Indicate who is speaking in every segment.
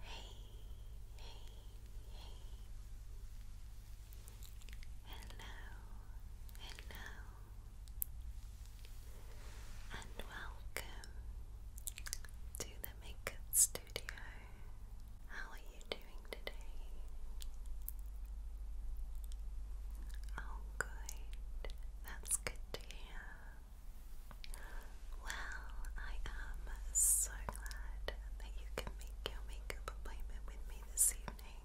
Speaker 1: Hey, hey, hey. Hello, hello, and welcome to the Makeup Studio. How are you doing today? Oh, good. That's good to hear. Well, I am so glad that you can make your makeup appointment with me this evening.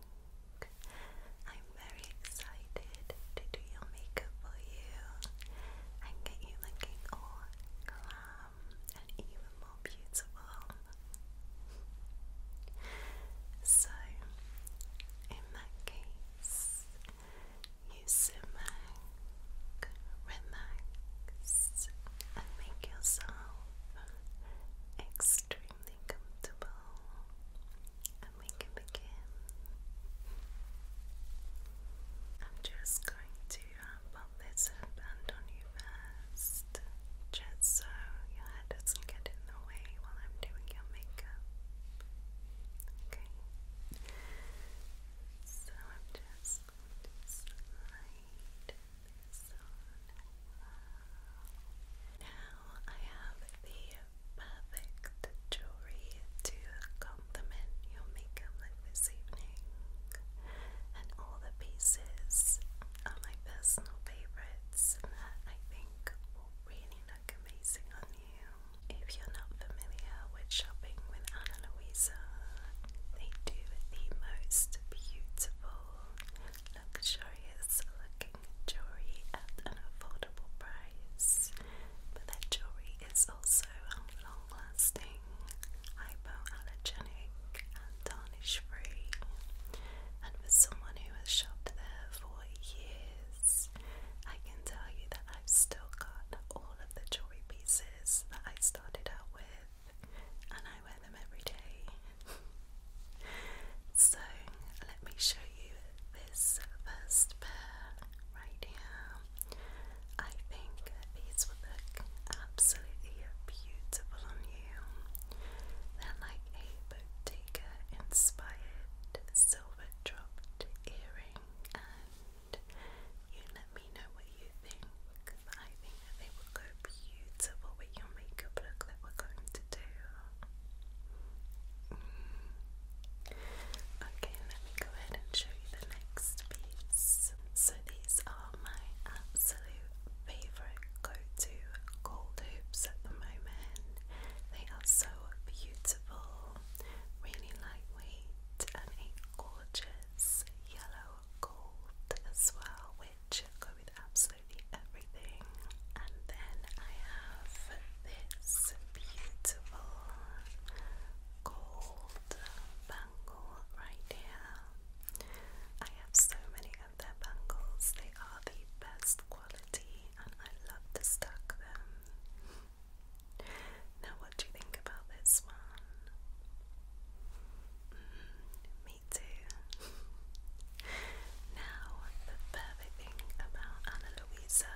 Speaker 1: I'm very excited to do your makeup for you and get you looking all glam and even more beautiful. So, in that case, you sit back, relax, and make yourself extremely comfortable, and we can begin. I'm just going to pop this headband on you first, just so your head doesn't get in the way while I'm doing your makeup. Okay. So just just Now I have the perfect jewelry to complement your makeup this evening. And all the pieces are my personal favorites that um, I think will really look amazing on you. If you're not familiar with shopping with Anna Louisa. They do the most beautiful, luxurious looking jewelry at an affordable price. But their jewelry is also um, long lasting, hypoallergenic, and tarnish free. And for someone who has shopped there for years, I can tell you that I've still got all of the jewelry pieces that I started out with, and I wear them every day. so let me show you this first pair right here. I think these would look absolutely beautiful on you. They're like a Bottega inspired silver dropped earring you let me know what you think I think they would beautiful with your makeup look that we're going to do. Okay, let me go ahead and show you the next piece. So these are my absolute favourite go-to gold hoops at the moment. They are so beautiful, really lightweight and a gorgeous yellow gold as well, which go with absolutely everything. And then I have this beautiful gold bangle right here. I have so many of their bangles, they are the best quality, and I love to stack them. Now, what do you think about this one? Mm, me too. now, the perfect thing about Anna Luisa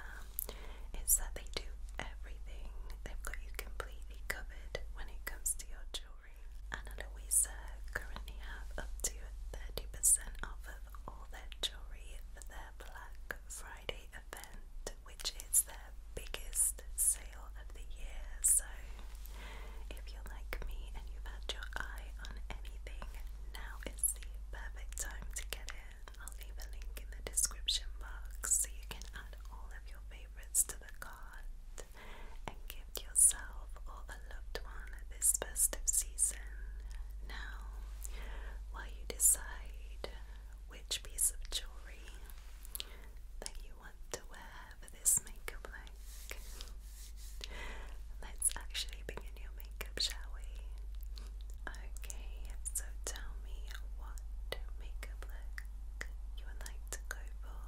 Speaker 1: is that they do everything. They've got you completely covered when it comes to your jewellery. Anna Luisa currently have up to 30% off of all their jewellery for their Black Friday event which is their biggest sale of the year. So, if you're like me and you've had your eye on anything, now is the perfect time to get in. I'll leave a link in the description box so you can add all of your favourites to the cart and gift yourself or a loved one this festive season. Now, while you decide which piece of jewellery that you what to wear for this makeup look. Let's actually begin your makeup, shall we? Okay, so tell me what makeup look you would like to go for.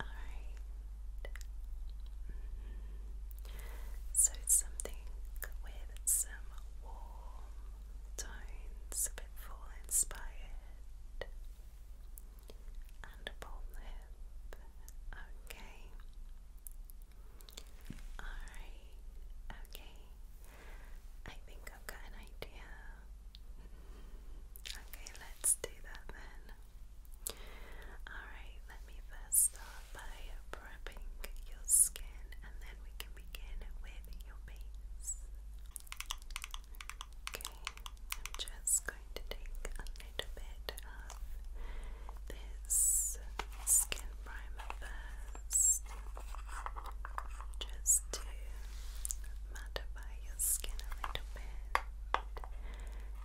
Speaker 1: Alright. So something with some warm tones, a bit fall inspired, and a lip. Okay. Alright, okay. I think I've got an idea. Okay, let's do that then. Alright, let me first start by prepping your skin and then we can begin with your face. Okay, I'm just going to take a little bit of this skin primer first, just to mattify your skin a little bit,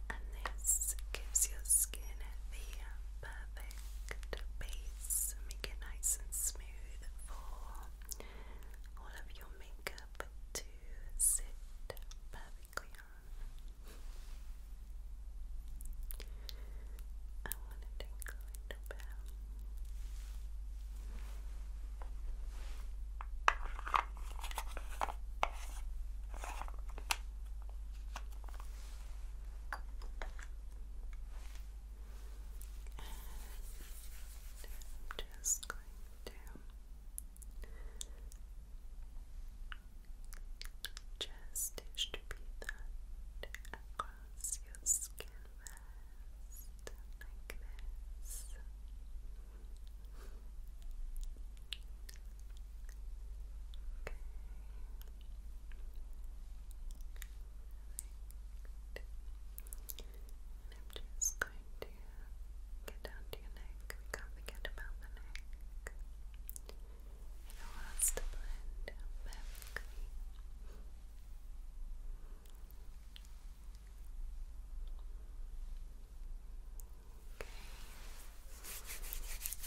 Speaker 1: and this gives your skin the perfect base, make it nice and smooth for all of your makeup to sit perfectly on. I want to take a I'm just going to just distribute that across your skin like this. Okay. And I'm just going to get down to your neck. We can't the neck. It allows to blend perfectly. Okay. There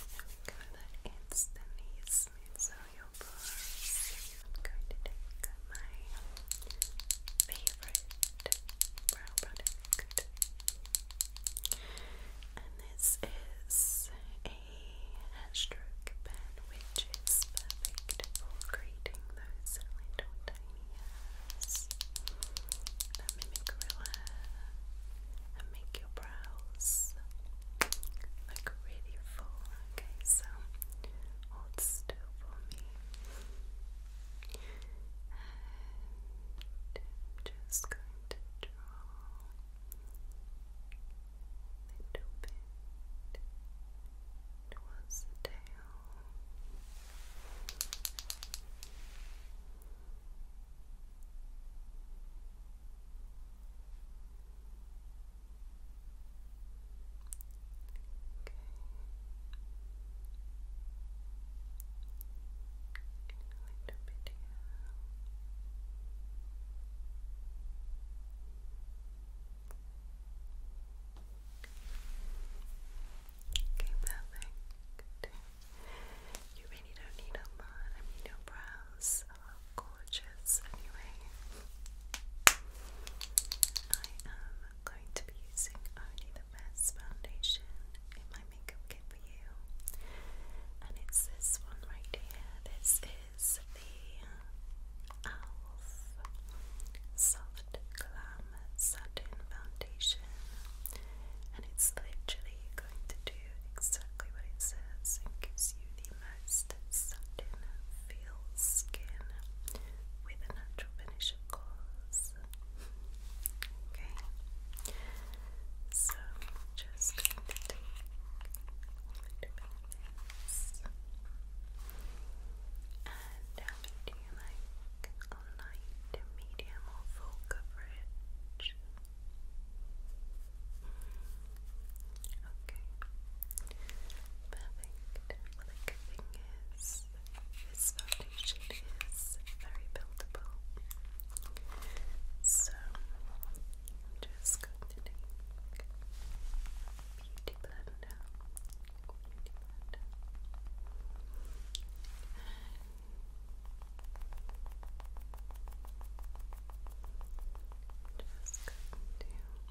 Speaker 1: we go. That instantly smooths out your pores. I'm going to take my favorite brow product. And this is a hashstroke pen, which is perfect for creating those little tiny hairs that mimic real and make your brows look really full. Okay, so Hold still for me. I'm just going to draw a little bit towards the tail. Okay, perfect. You really don't need a lot. I mean, your brows are gorgeous anyway. I am going to be using only the best foundation in my makeup kit for you, and it's this one right here. This is the ELF Soft Glam Satin Foundation, and it's literally going to do exactly what it says and gives you the most satin feel skin with a natural finish, of course. Okay, so just And um, do you like a light, medium, or full coverage? Okay, perfect like, like thing is, this foundation is very buildable. So just going to beauty blender, beauty blender, and just going to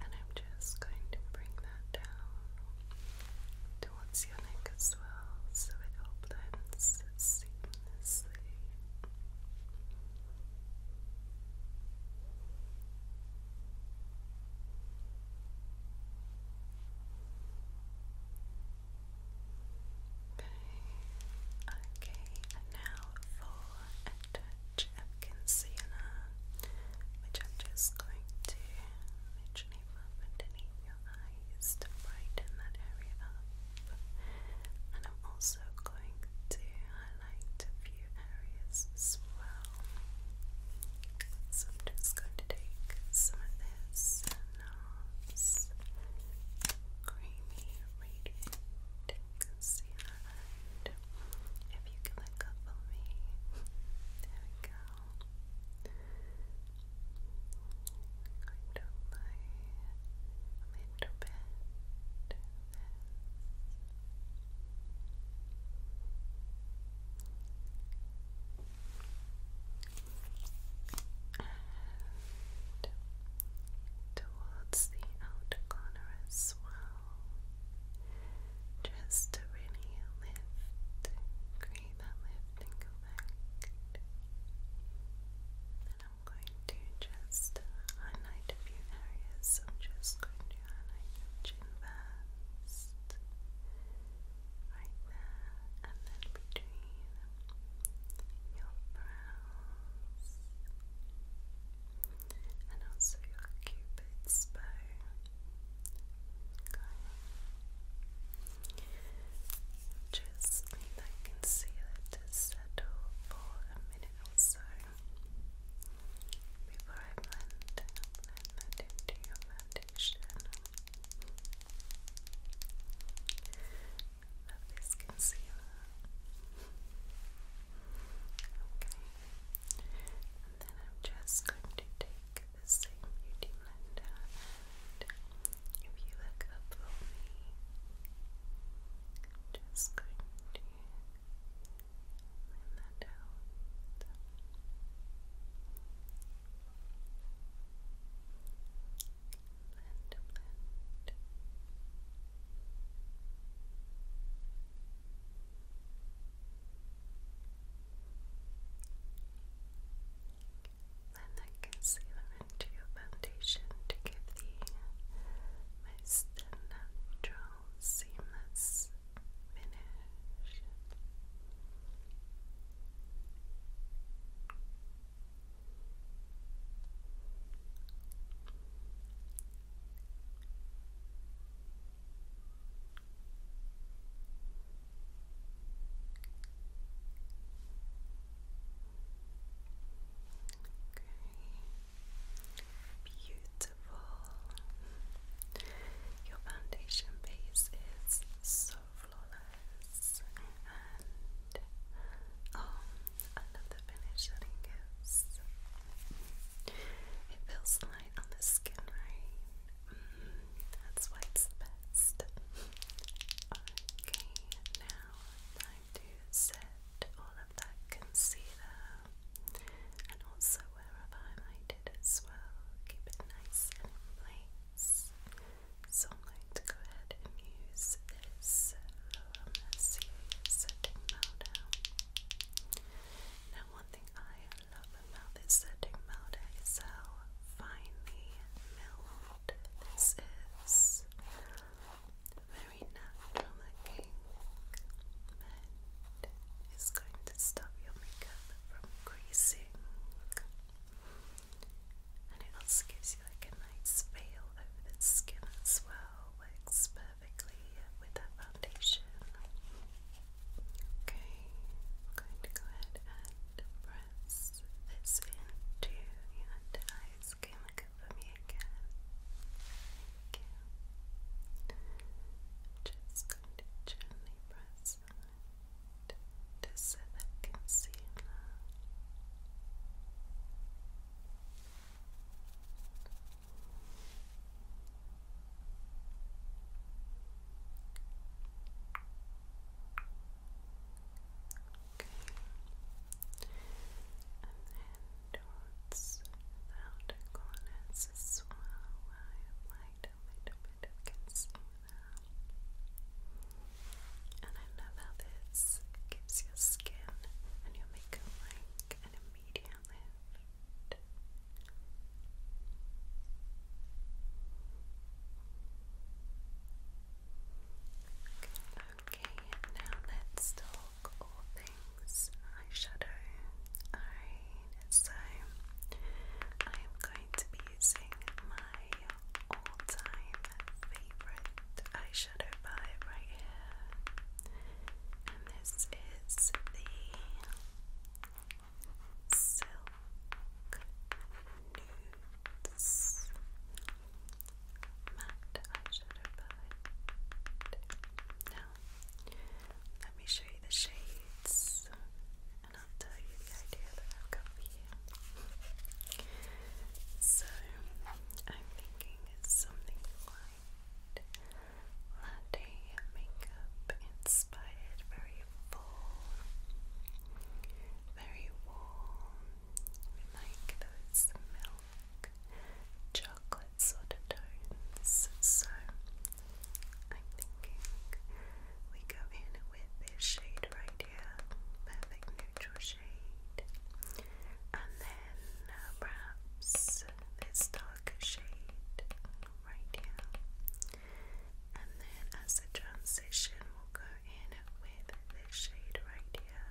Speaker 1: And I'm just going to bring that down towards your neck as well so it all blends seamlessly. Okay, and now for a touch of concealer, which I'm just going to literally rub underneath your eyes to brighten that area up. And I'm also going to highlight a few areas as well. So I'm just going to take some of this NARS Creamy Radiant Concealer if you can look up for me, there we go. Going to apply a bit and towards the outer corner as well, just to really lift, create that lifting effect. Then I'm going to just highlight a few areas. I'm just going to highlight your chin first. Right there, and then between your brows and also your cupid's bow. Just that concealer to settle for a minute or so before I blend, blend that into your foundation. Love this concealer. Okay. And then I'm just going to take the same beauty blender if you look up for me, just going to Blend that out. Blend, blend. Blend that concealer into your foundation to give the moist natural, seamless this finish. Okay. Beautiful. Your foundation base is so flawless, and oh, I finish that it gives. It feels light on the skin, right? Mm-hmm. that's why it's the best. Okay, now time to set all of that concealer and also where I've highlighted as well. Keep it nice and place. So I'm going to go ahead and use this Laura um, setting powder. Now, one thing I love about this setting powder is how finely milled this is. Very natural looking, it's going to stop your makeup from greasing, And it also gives you like a nice veil over the skin as well. Works perfectly with that foundation. Okay, I'm going to go ahead and press this into your under skin. for me again. Okay. Just going to gently press on it to And then towards the corners as as And I love how this gives your skin and your makeup like an immediate lift. Okay, now let's talk eyeshadow. Alright, so I am going to be using my all time favourite eyeshadow palette right here, and this is the Silk Nudes Matte Eyeshadow Palette. Now, let me show you the shades and I'll tell you the idea that I've got for you. So, I'm thinking it's something light, latte makeup inspired, very full, very warm. like those milk, chocolate sort of tones. So I'm thinking we go in with this shade right here, perfect neutral shade, and then uh, perhaps this darker shade right here, and then as a transition, we'll go in with this shade right here.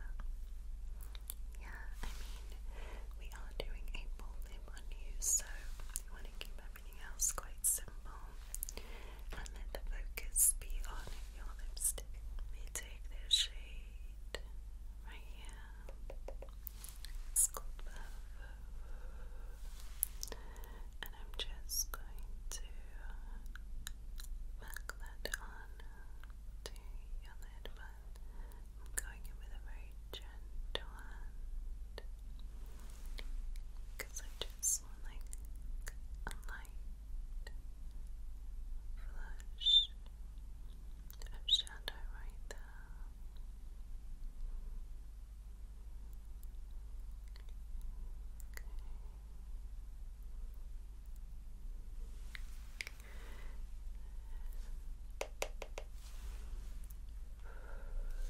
Speaker 1: Yeah, I mean, we are doing a full so you want to keep everything else quite simple and let the focus be on your lipstick. We take this shade right here, it's called Verve, and I'm just going to back that on to your lid, but I'm going in with a very gentle because I just want like a light flush of shadow right there.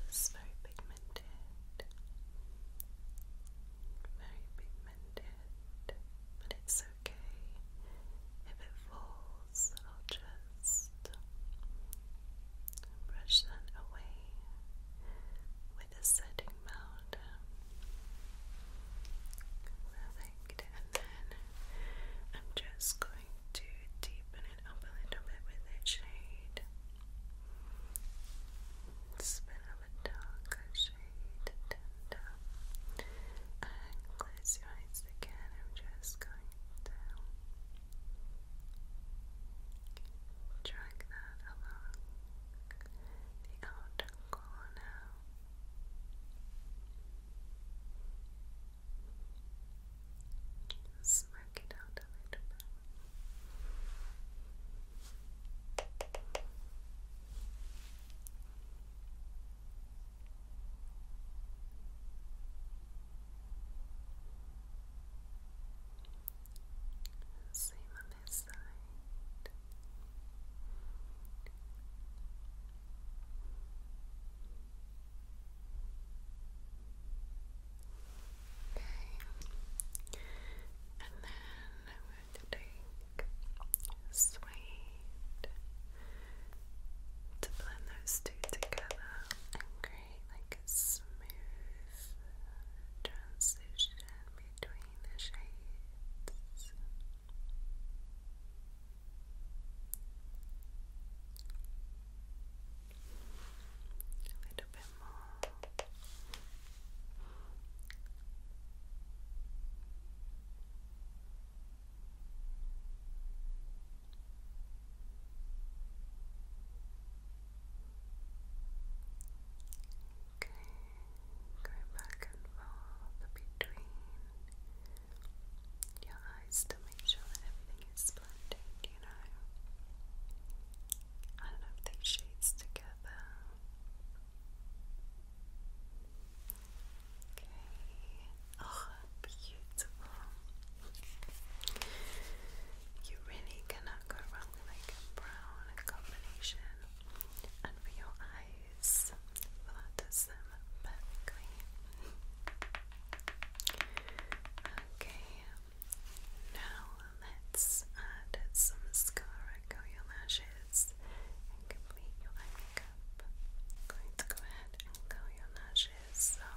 Speaker 1: It's very pigmented. Very pigmented. But it's okay. If it falls, I'll just brush that away with a setting powder. Perfect. And then I'm just going to deepen it up a little bit with that shade. It's a a darker shade close your eyes again. I'm just going to drag that along the outer corner. Smirk it out a little bit. Same on this side. Okay. And then I'm going to take suede to blend those two together and create like a smooth transition between the shades. A little bit more. Okay, go back and forth between your eyes to make sure that everything is blending, you know. I don't know if these shades together. Okay. Oh, beautiful. You really cannot go wrong with like a brown combination. And for your eyes, that does them perfectly. Okay, now let's add some mascara, curl your lashes, and complete your eye makeup. I'm going to go ahead and curl your lashes, so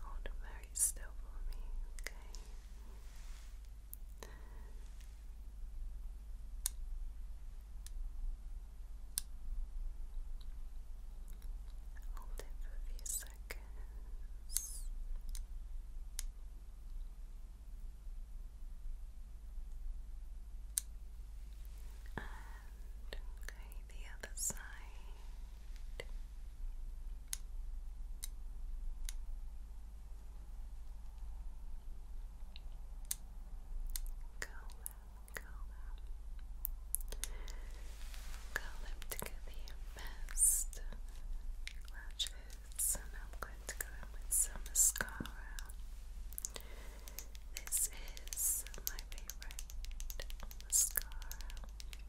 Speaker 1: hold very still for me, Okay, Hold it for a few seconds. And the other side. Curl them, curl them, curl them together best lashes, and I'm going to go in with some mascara. This is my favorite mascara, okay,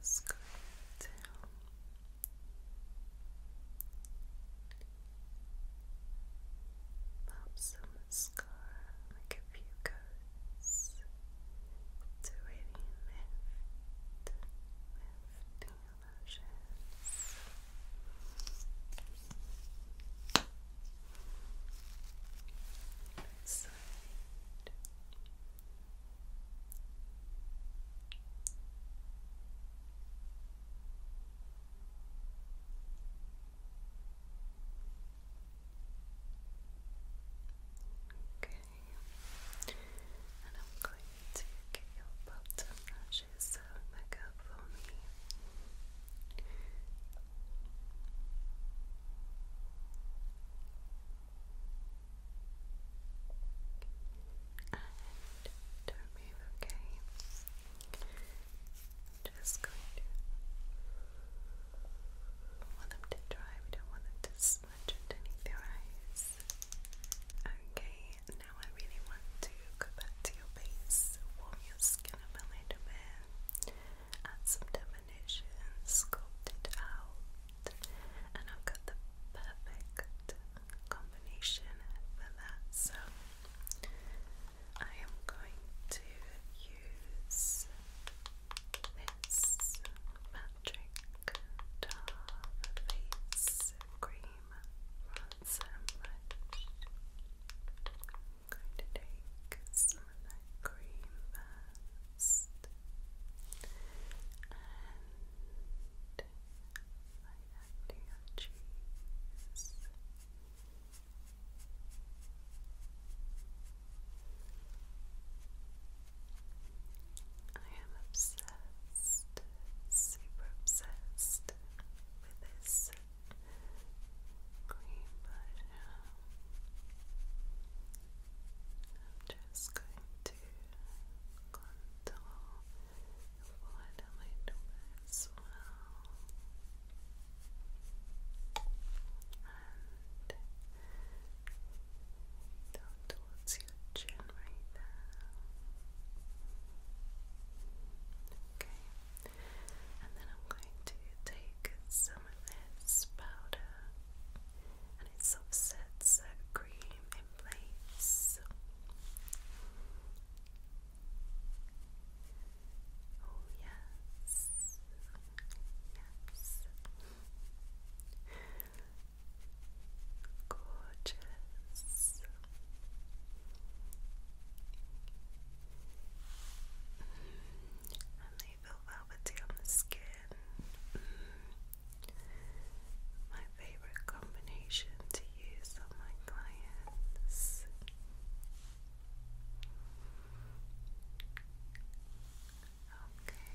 Speaker 1: just going to. Pop some mascara, make a few coats to really lift, lift your lashes. side. Okay, and I'm going to get your bottom lashes uh, back up for me. And don't okay? just going to. We them dry, we don't want them to smudge underneath your eyes. Okay, now I really want to go back to your base, warm your skin a little bit, add some definition, sculpt it out, and I've got the perfect combination for that. So I am going to use this Patrick Tar Face Cream Ransom Brush. going to take some cream first and it right under your cheeks. I am obsessed, super obsessed with this cream brush. I'm just going to contour the a little bit as well. And down towards your chin right there. Okay. And then I'm going to take some of this powder and it's offset so cream place. Oh, yes, yes. Gorgeous. Mm-hmm. and they feel velvety on the skin. Mm-hmm. My favorite combination to use on my clients. Okay,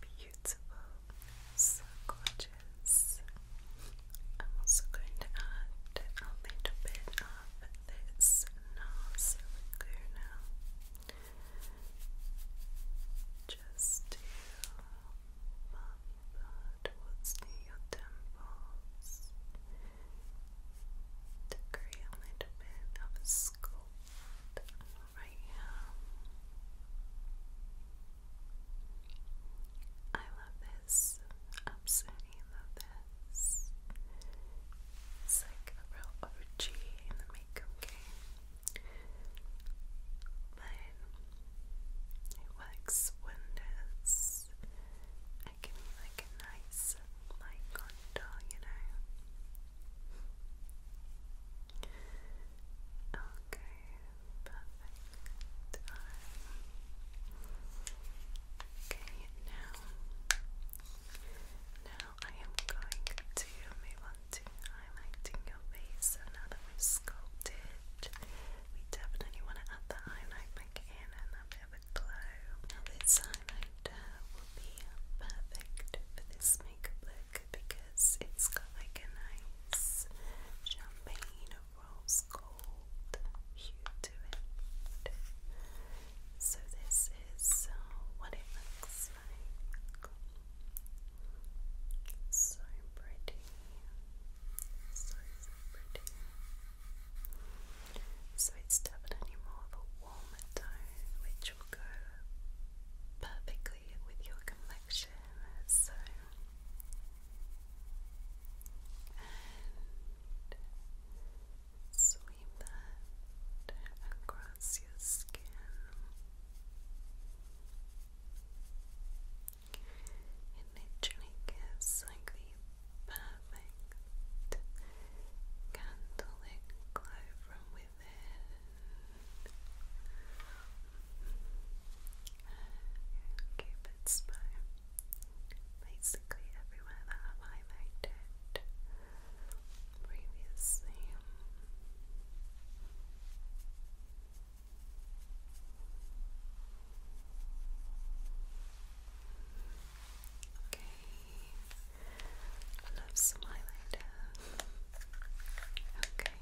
Speaker 1: beautiful, so gorgeous. I'm also going to add a little bit of this NARS Laguna just to but near your temples to create a little bit of a sculpt right here. I love this. Absolutely love this. It's like a real OG in the makeup game. But it works wonders. I give me like a nice light contour, you know. Okay, perfect. okay, now, now I am going to move on to highlighting your face. So now that we sculpted, we definitely want to add the highlight in and a bit of glow. Now this highlighter will be perfect for this makeup look because it's got like a nice champagne rose gold hue to it. So this is what it looks like. So pretty. So, so it's definitely more of a warmer tone, which will go perfectly with your complexion. So, sweep that across your skin. It literally gives like the perfect candlelit glow from within. Cupid's spine. Basically everywhere that I've highlighted previously. Okay, love some Okay,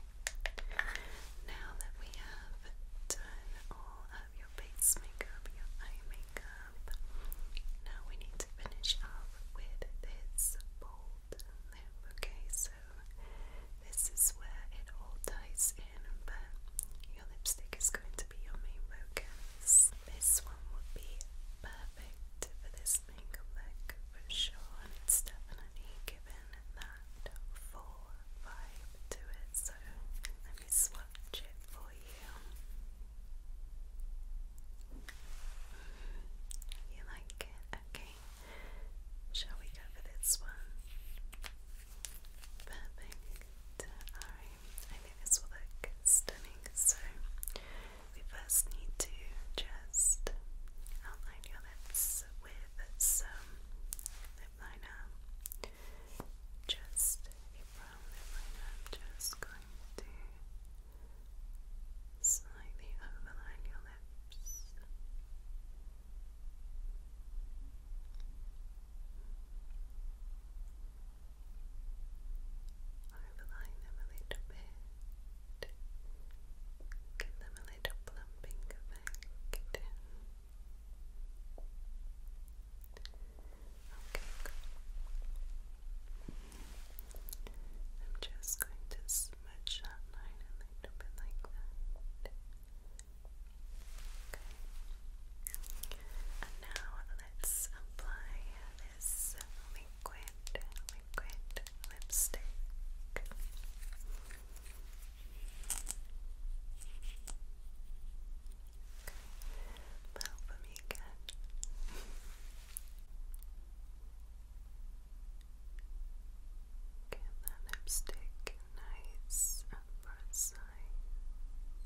Speaker 1: now that we have done all of your base makeup, your eye makeup, now we need to finish up with this bold lip. Okay, this is where it all ties in, but your lipstick is going to be your main focus. This one would be perfect for this makeup look for sure, and it's definitely given that full vibe to it. So let me swatch it for you. You like it? Okay. Shall we go for this one? Perfect. Alright, I think this will look stunning. So, we first need to just outline your lips with some lip liner. Just a brown lip liner. just going to slightly overline your lips. Overline them a little bit, give them a little plumping effect. Okay, I'm just going to smudge that line a little bit like that. Okay. And now let's apply this liquid, lipstick. Okay. Help me again. Get that lipstick nice on both sides.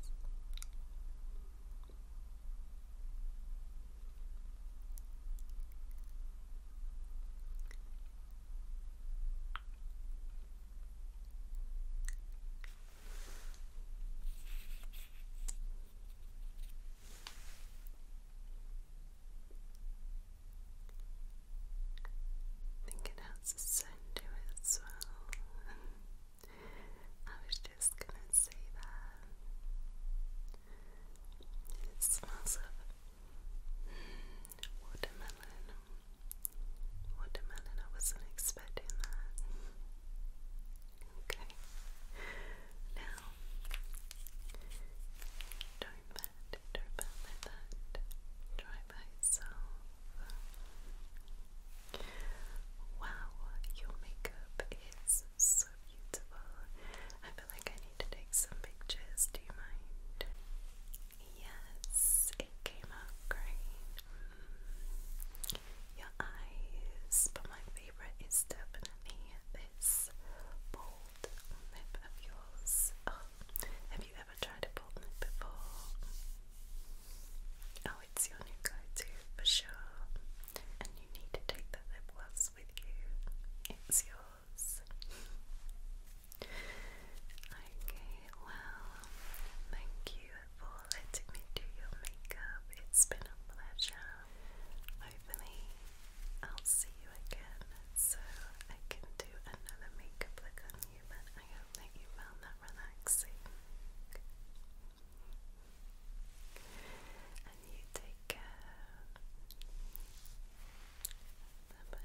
Speaker 1: Good. I think it has a scent to it as well. I was just gonna say that. It smells of watermelon. Watermelon, I wasn't expecting that. Okay. Now, don't that, Wow, your makeup is so beautiful. I feel like I need to take some pictures. Do you mind? Yes, it came out great. Your eyes, but my favorite is definitely this bold lip of yours. have you ever tried a botany before? Oh, it's your new go-to for sure. And you need to take the lip gloss with you. It's yours. okay, well, thank you for letting me do your makeup. It's been a pleasure. Hopefully, I'll see you again so I can do another makeup look on you, but I hope that you found that relaxing. And you take care. Bye bye.